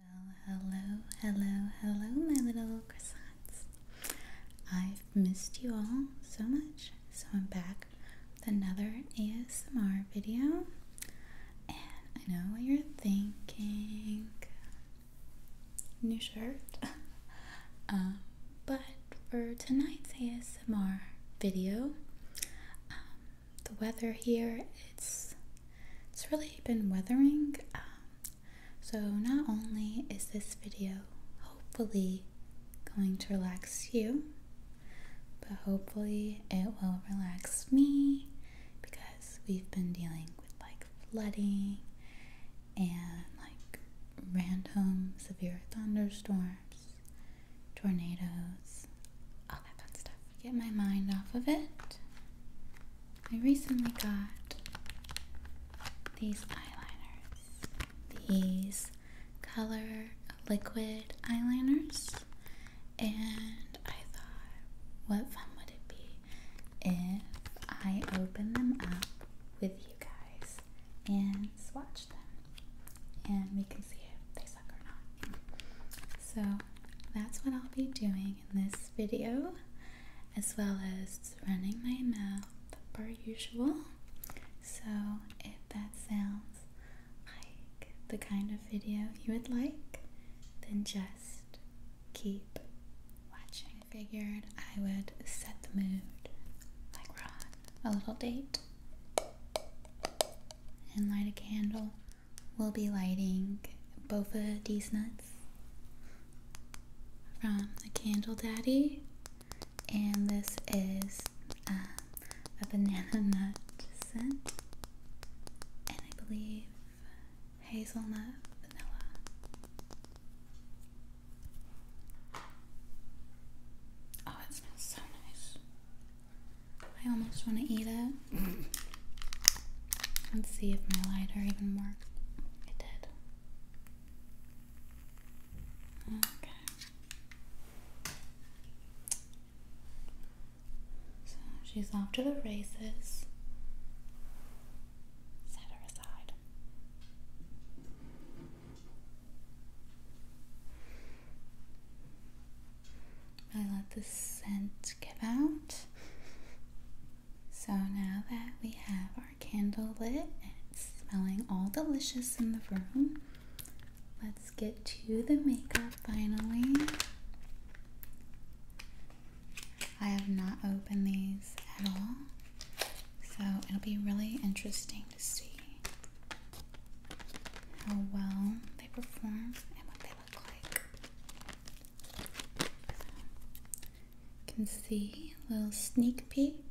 Well, hello, hello, hello, my little croissants. I've missed you all so much, so I'm back with another ASMR video. And I know what you're thinking new shirt. Um, but for tonight's ASMR video, um, the weather here it's it's really been weathering. Um, so, not only is this video hopefully going to relax you, but hopefully it will relax me because we've been dealing with like flooding and like random severe thunderstorms, tornadoes, all that fun stuff. Get my mind off of it I recently got these eyeliners. These color liquid eyeliners. And I thought, what fun would it be if I open them up with you guys and swatch them? And we can see if they suck or not. So that's what I'll be doing in this video, as well as running my mouth per usual. So if that sounds like the kind of video you would like, then just keep watching. I figured I would set the mood like we're on a little date and light a candle we'll be lighting both of these nuts from the Candle Daddy, and this is um, a banana nut scent, and I believe hazelnut vanilla. Oh, it smells so nice. I almost want to eat it. Let's see if my lighter even worked. It did. Okay. So she's off to the races. Set her aside. I let the scent give out. So now that we have our candle lit and it's smelling all delicious in the room, let's get to the makeup finally. I have not opened these at all, so it'll be really interesting to see how well they perform and what they look like. You can see a little sneak peek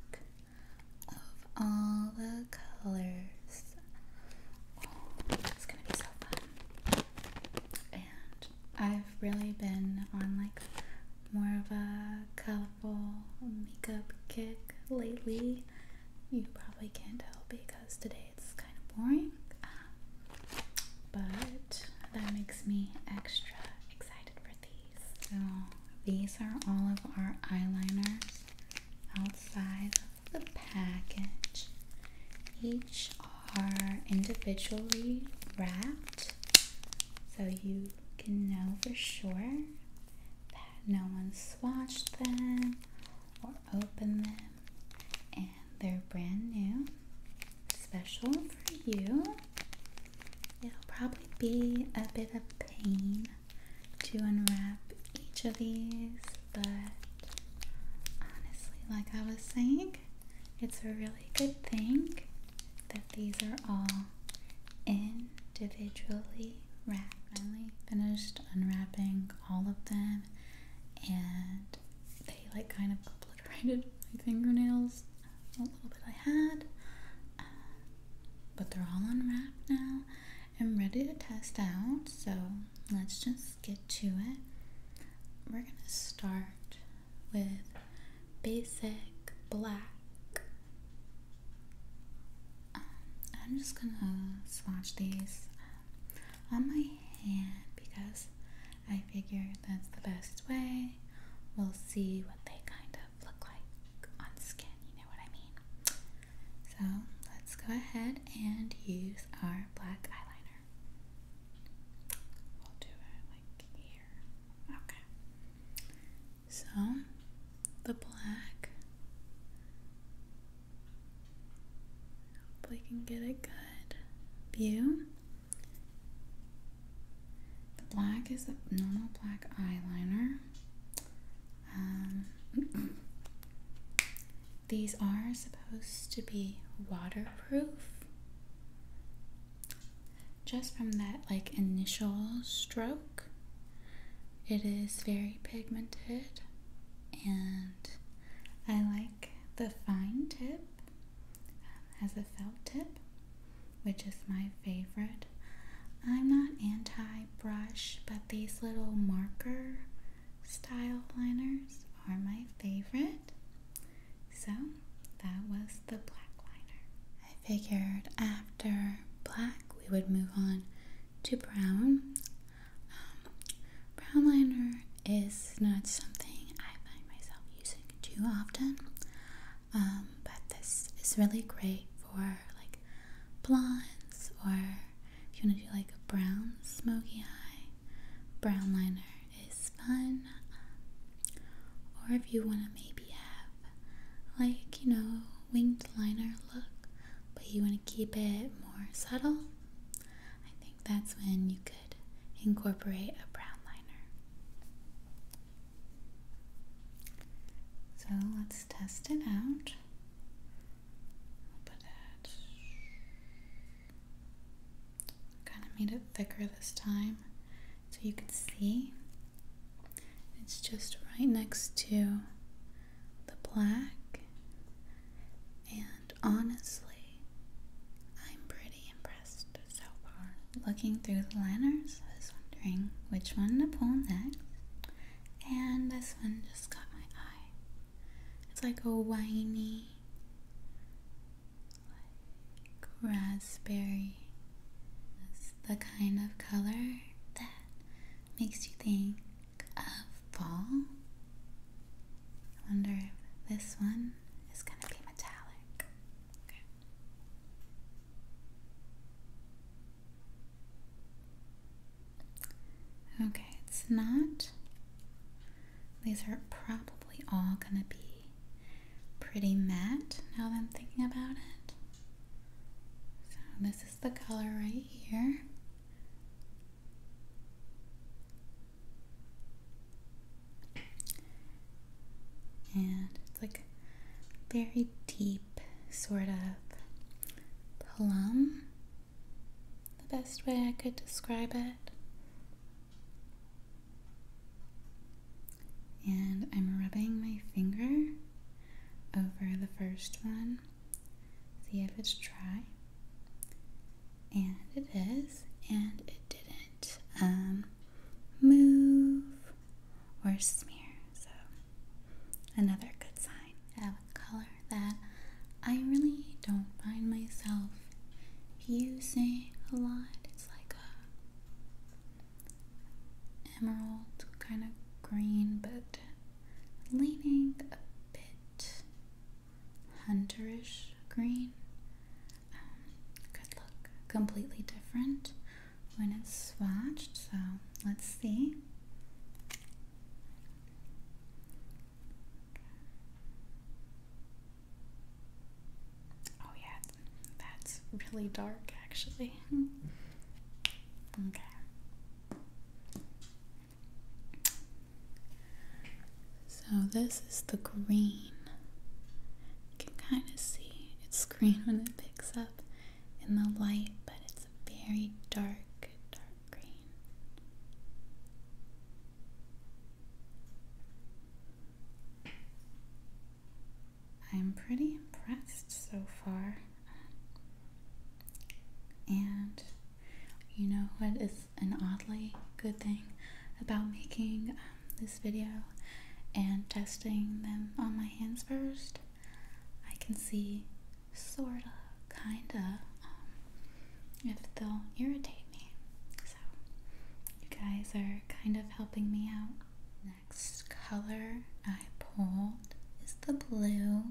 of all the colors. Oh, it's gonna be so fun. And I've really been on like more of a colorful makeup kick lately. You probably can't tell because today it's kind of boring, um, but that makes me extra excited for these. So these are all of our eyeliners outside of the package. Each are individually wrapped, so you can know for sure that no one swatched them or opened them they're brand new, special for you. It'll probably be a bit of pain to unwrap each of these, but honestly, like I was saying, it's a really good thing that these are all individually wrapped. Finally finished unwrapping all of them and they like kind of Painted my fingernails, a little bit I had. Uh, but they're all unwrapped now I'm ready to test out, so let's just get to it. We're gonna start with basic black. Um, I'm just gonna swatch these um, on my hand because I figure that's the best way. We'll see what they kind of look like on skin, you know what I mean? So let's go ahead and use our black eyeliner. We'll do it like here. Okay. So the black. Hopefully, you can get a good view. The black is a normal black eyeliner. Um, these are supposed to be waterproof. Just from that like initial stroke, it is very pigmented and I like the fine tip um, has a felt tip, which is my favorite. I'm not anti brush, but these little marker style liners are my favorite. So that was the black liner. I figured after black we would move on to brown. Um, Brown liner is not something I find myself using too often, um, but this is really great for like blondes or if you want to do like a brown smoky eye. Brown liner is fun, um, or if you want to maybe have like you know winged liner look, but you want to keep it more subtle. I that's when you could incorporate a brown liner. So let's test it out. put it. Kind of made it thicker this time so you can see. It's just right next to the black and honestly, I'm pretty impressed so far. Looking through the liners, I was wondering which one to pull next. And this one just caught my eye. It's like a winey, like raspberry. It's the kind of color that makes you think of fall. I wonder if this one is gonna be metallic. Okay. it's not. These are probably all gonna be pretty matte now that I'm thinking about it. So, this is the color right here. And it's like very deep, sort of plum, the best way I could describe it. And I'm rubbing my finger over the first one, see if it's dry. And it is, and it didn't um, move or smear. So, another good sign of a color that I really don't find myself using a lot. It's like a emerald kind of green, but leaning a bit hunterish green. could um, look completely different when it's swatched. So let's see. Oh, yeah, that's really dark actually. okay. So this is the green. You can kind of see it's green when it picks up in the light, but it's a very dark, dark green. I'm pretty impressed so far. And you know what is an oddly good thing about making um, this video and testing them on my hands first. I can see sorta, kinda, um, if they'll irritate me. So, you guys are kind of helping me out. Next color I pulled is the blue.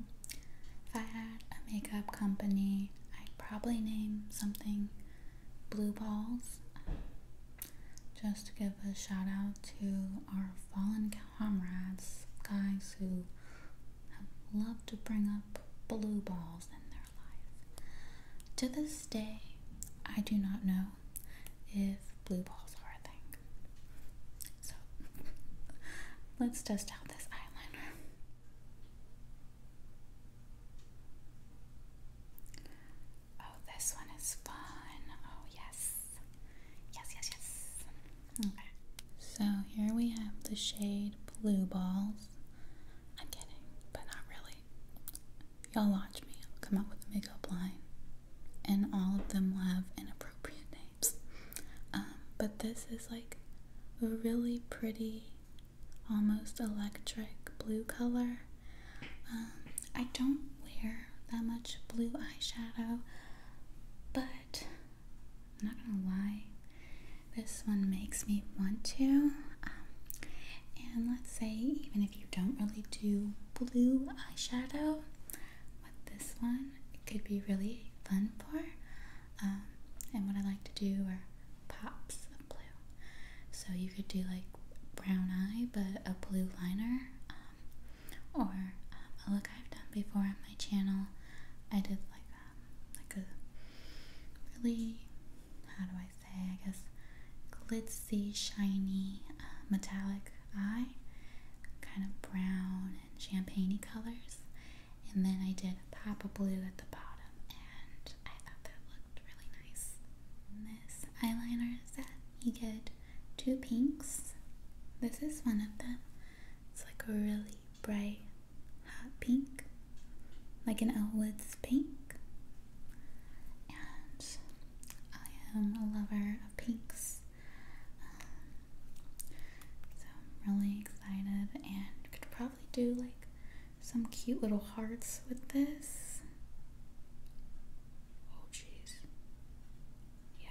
If I had a makeup company, I'd probably name something blue balls. Just to give a shout out to our fallen comrades, guys who have loved to bring up blue balls in their life. To this day, I do not know if blue balls are a thing. So let's test out this eyeliner. Oh, this one is fun. Oh, yes. Yes, yes, yes. Hmm. Okay. So here we have the shade Blue Balls. I'm kidding, but not really. Y'all watch me. I'll come up with a makeup line, and all of them will have inappropriate names. Um, but this is like a really pretty almost electric blue color. Um, I don't wear that much blue eyeshadow, but I'm not gonna lie, this one makes me want to. Um, and let's say, even if you don't really do blue eyeshadow, with this one, could be really fun for. Um, and what I like to do or pops of blue. So you could do like brown eye, but a blue liner, um, or um, a look I've done before on my channel. I did like um, like a really how do I say I guess glitzy, shiny, uh, metallic eye, kind of brown and champagney colors, and then I did a pop of blue at the bottom, and I thought that looked really nice. this eyeliner set, you get two pinks. This is one of them. It's like a really bright, hot pink, like an Elwood's pink. And I am a lover of pinks. Um, so I'm really excited and could probably do like some cute little hearts with this. Oh, jeez. Yeah.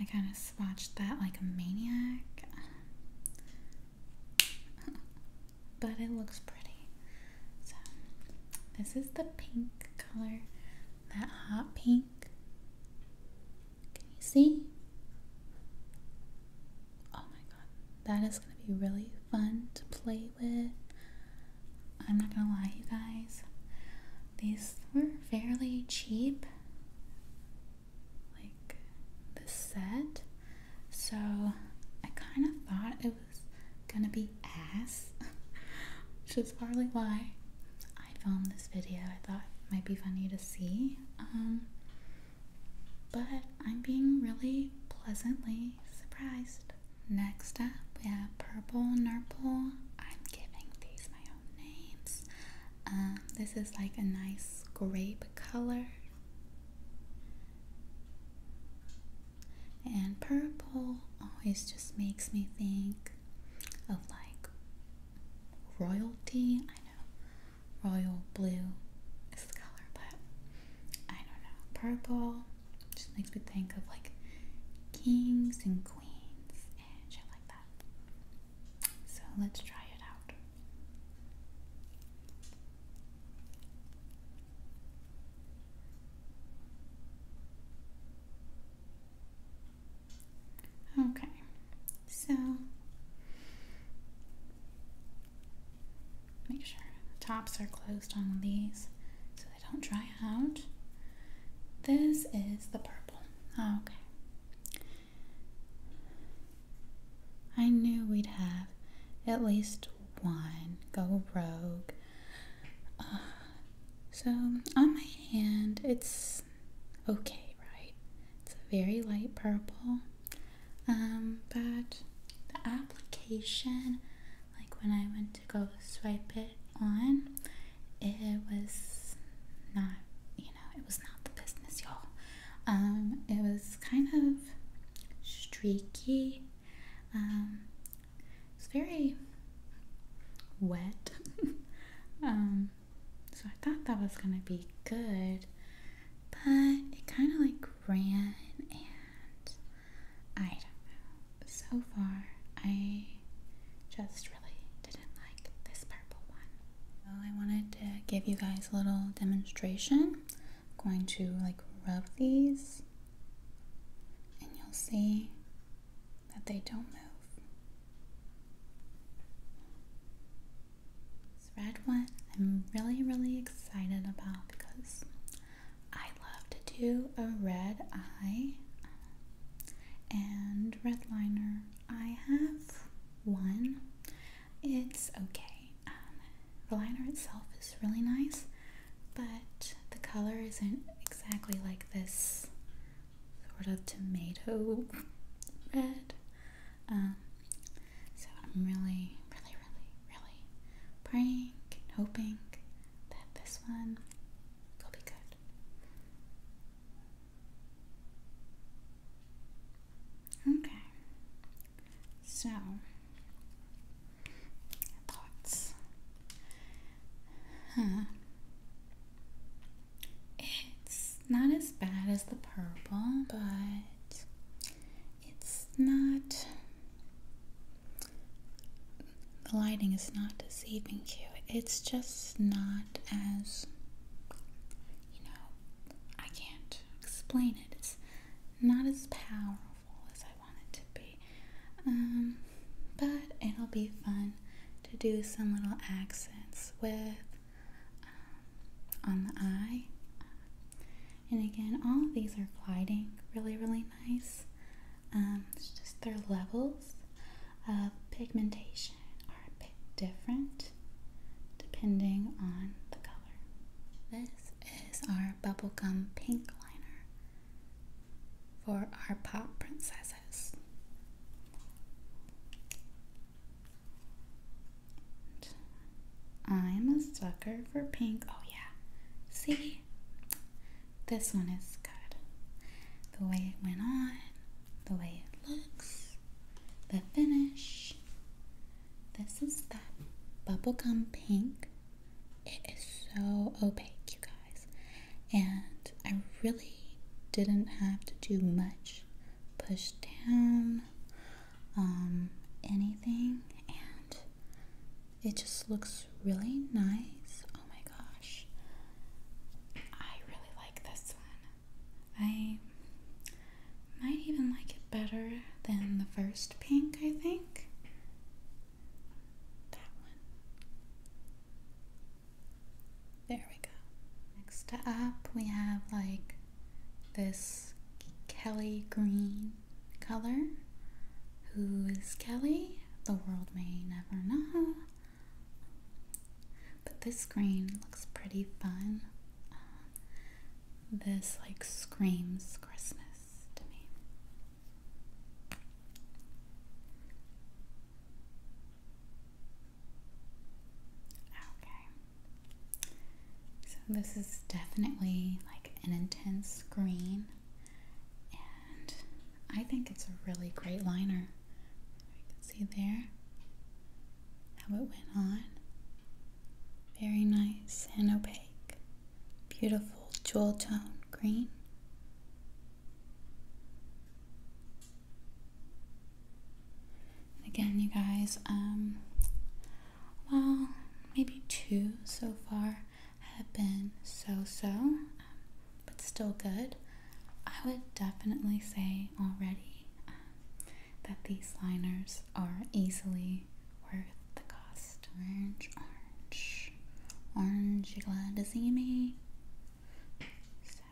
I kind of swatched that like a maniac. but it looks pretty. So, this is the pink color. That hot pink. Can you see? Oh my god, that is gonna be really fun to play with. I'm not gonna lie, you guys, these were fairly cheap. Like the set, so I kind of thought it was gonna be ass, which is partly why I filmed this video. I thought might be funny to see. Um, but I'm being really pleasantly surprised. Next up, we have Purple Nurple. I'm giving these my own names. Um, this is like a nice grape color. And purple always just makes me think of like royalty. I know royal blue is the color, but I don't know. Purple just makes me think of like kings and queens and shit like that. So let's try it out. Okay, so Make sure the tops are closed on these so they don't dry out. This is the purple. Oh, okay. I knew we'd have at least one go rogue. Uh, so on my hand, it's okay, right? It's a very light purple. Um, but the application, like when I went to go swipe it on, it was not, you know, it was not the business, y'all. Um, it was kind of streaky. Um, it's very wet. um, so I thought that was gonna be good, but it kind of like ran and I don't know. So far, I just really didn't like this purple one. I wanted to give you guys a little demonstration. I'm going to like rub these and you'll see that they don't move red one I'm really, really excited about because I love to do a red eye and red liner. I have one. It's okay. the um, liner itself is really nice, but the color isn't exactly like this sort of tomato red. Um, so I'm really, really, really, really praying and hoping that this one will be good. Okay. So thoughts. Huh. It's not as bad as the purple, but it's not. The lighting is not deceiving you. It's just not as. You know, I can't explain it. It's not as powerful as I want it to be. Um, but it'll be fun to do some little accents with um, on the eye. And again, all of these are gliding really, really nice. Um, it's just their levels of pigmentation are a bit different depending on the color. This is our bubblegum pink liner for our pop princesses. I'm a sucker for pink. Oh, yeah. See? This one is good. The way it went on, the way it looks, the finish. This is that bubblegum pink. It is so opaque, you guys. And I really didn't have to do much push down um, anything, and it just looks really nice. Oh my gosh, I really like this one. I might even like it better than the first pink, I think. That one. There we go. Next up, we have like this Kelly green color. Who is Kelly? The world may never know. But this green looks pretty fun. Uh, this like screams Christmas to me. Okay. So this is definitely like an intense green and I think it's a really great liner. You can see there how it went on. Very nice and opaque. Beautiful jewel tone green. again, you guys, um, well, maybe two so far have been so so, um, but still good. I would definitely say already um, that these liners are easily worth the cost. Orange, orange, orange, you glad to see me? So,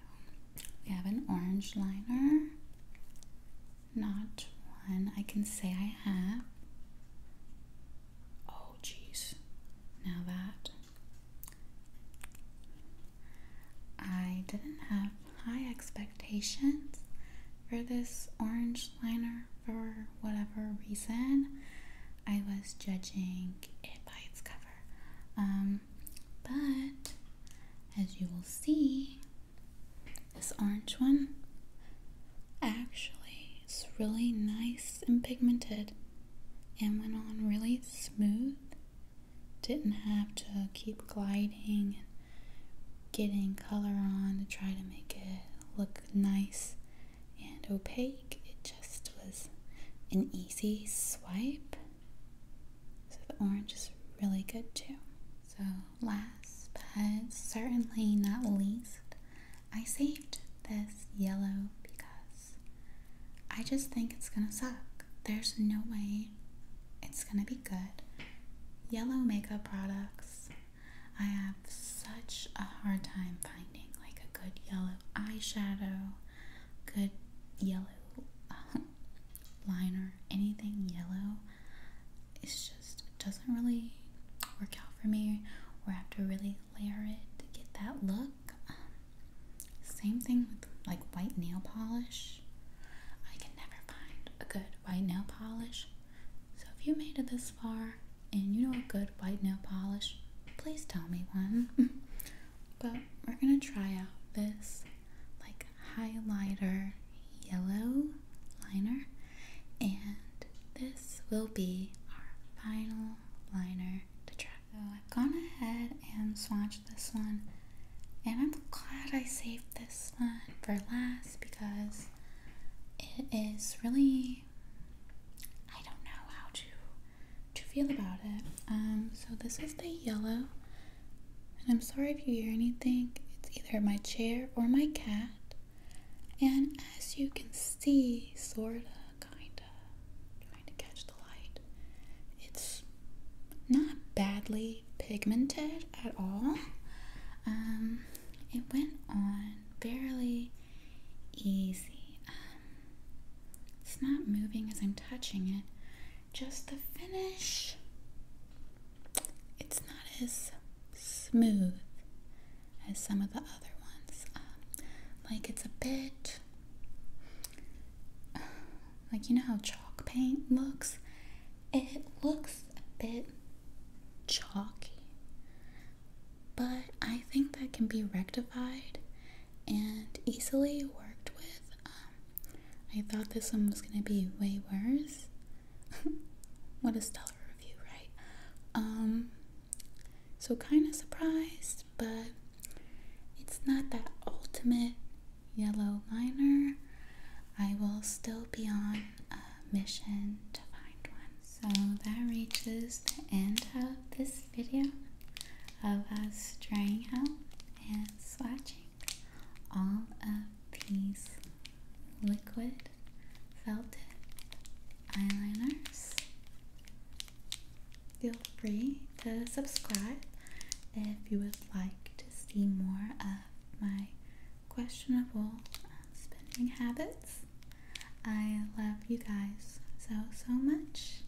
we have an orange liner. Not one I can say I have. Oh, jeez. Now that. I didn't have high expectations for this orange liner for whatever reason. I was judging it by its cover. Um, but as you will see, this orange one actually is really nice and pigmented and went on really smooth. Didn't have to keep gliding and getting color on to try to make it look nice and opaque. It just was an easy swipe. So the orange is really good too. So last but certainly not least, I saved this yellow because I just think it's gonna suck. There's no way it's gonna be good. Yellow makeup products, I have such a hard time finding like a good yellow eyeshadow, good yellow uh, liner, anything yellow. It's just doesn't really work out for me or I have to really layer it to get that look. Um, same thing with like white nail polish. I can never find a good white nail polish. So if you made it this far and you know a good white nail polish, please tell me one. but we're gonna try out this like highlighter yellow liner and this will be our final liner to try. So I've gone ahead and swatched this one and I'm glad I saved this one for last because it is really I don't know how to to feel about it. Um so this is the yellow and I'm sorry if you hear anything. It's either my chair or my cat. And as you can see, sorta, kinda, trying to catch the light, it's not badly pigmented at all. Um, it went on fairly easy. Um, it's not moving as I'm touching it. Just the finish it's not as smooth as some of the other ones. Um, like it's a bit like you know how chalk paint looks? It looks a bit chalky, but I think that can be rectified and easily worked with. Um, I thought this one was going to be way worse, what a stellar review, right? Um, so kind of surprised, but it's not that ultimate yellow liner. I will still be on a mission to find one. So that reaches the end of this video of us drying out and swatching all of these liquid felt eyeliners. Feel free to subscribe if you would like to see more of my questionable um, spending habits. I love you guys so, so much,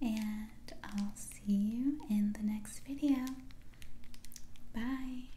and I'll see you in the next video. Bye.